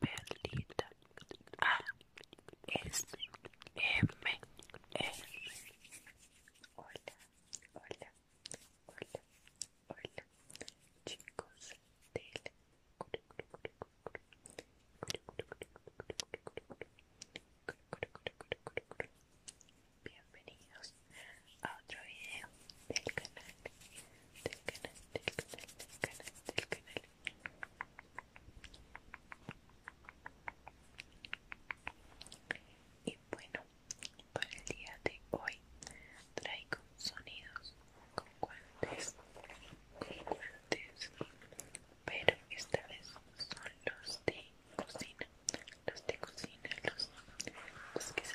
Perlita A S M R Hola, hola, hola, chicos Bienvenidos a otro video del canal del canal, del canal, del canal, del canal. Y bueno, para el día de hoy traigo sonidos con guantes, con guantes, pero esta vez son los de cocina, los de cocina, los, que se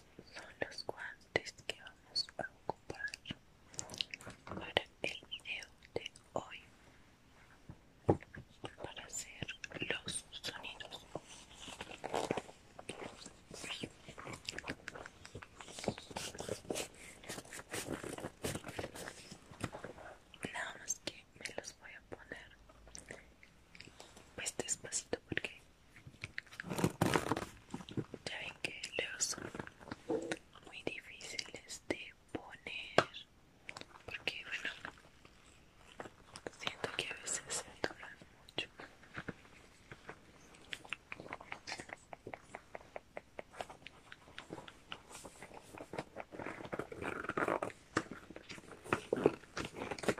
son los guantes que vamos a ocupar para el video de hoy para hacer los sonidos nada más que me los voy a poner pues despacito porque ya ven que leos son muy difíciles de poner porque bueno siento que a veces se doblan mucho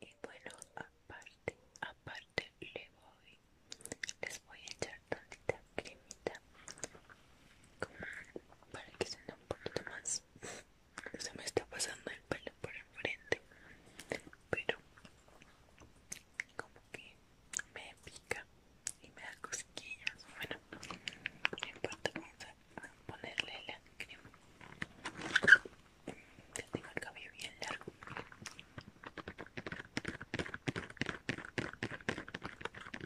Y bueno, aparte, aparte le voy, les voy a echar tantita cremita como para que suene un poquito más se me está pasando el pelo por el frente pero como que me pica y me da cosquillas bueno no importa vamos a ponerle la crema ya tengo el cabello bien largo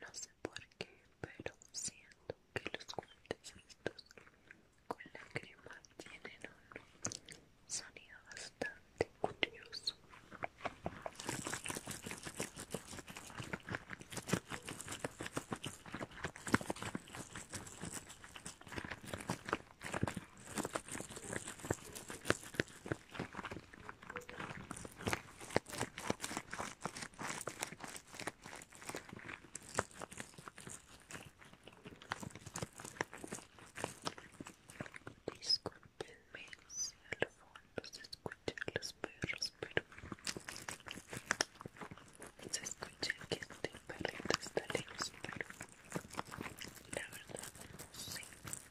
No sé por qué, pero siento que los cuentes estos con la crema tienen un sonido bastante curioso. Disculpenme si al fondo se escuchan los perros, pero se escucha que este perrito está lejos, pero la verdad no sé qué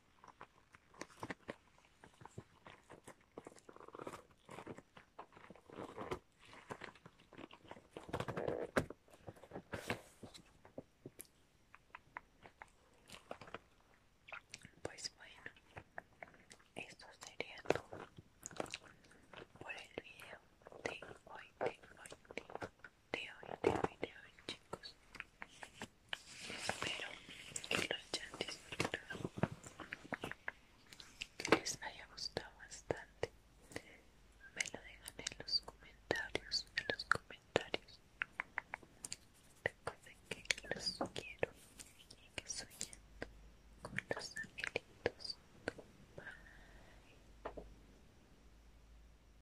Pues bueno, esto sería todo por el video de hoy, de hoy, de de hoy, de hoy, de hoy, chicos. Espero que lo hayan disfrutado, que les haya gustado bastante. Me lo dejan en los comentarios, en los comentarios. Recuerden que los quiero y que sueñen con los angelitos. Bye.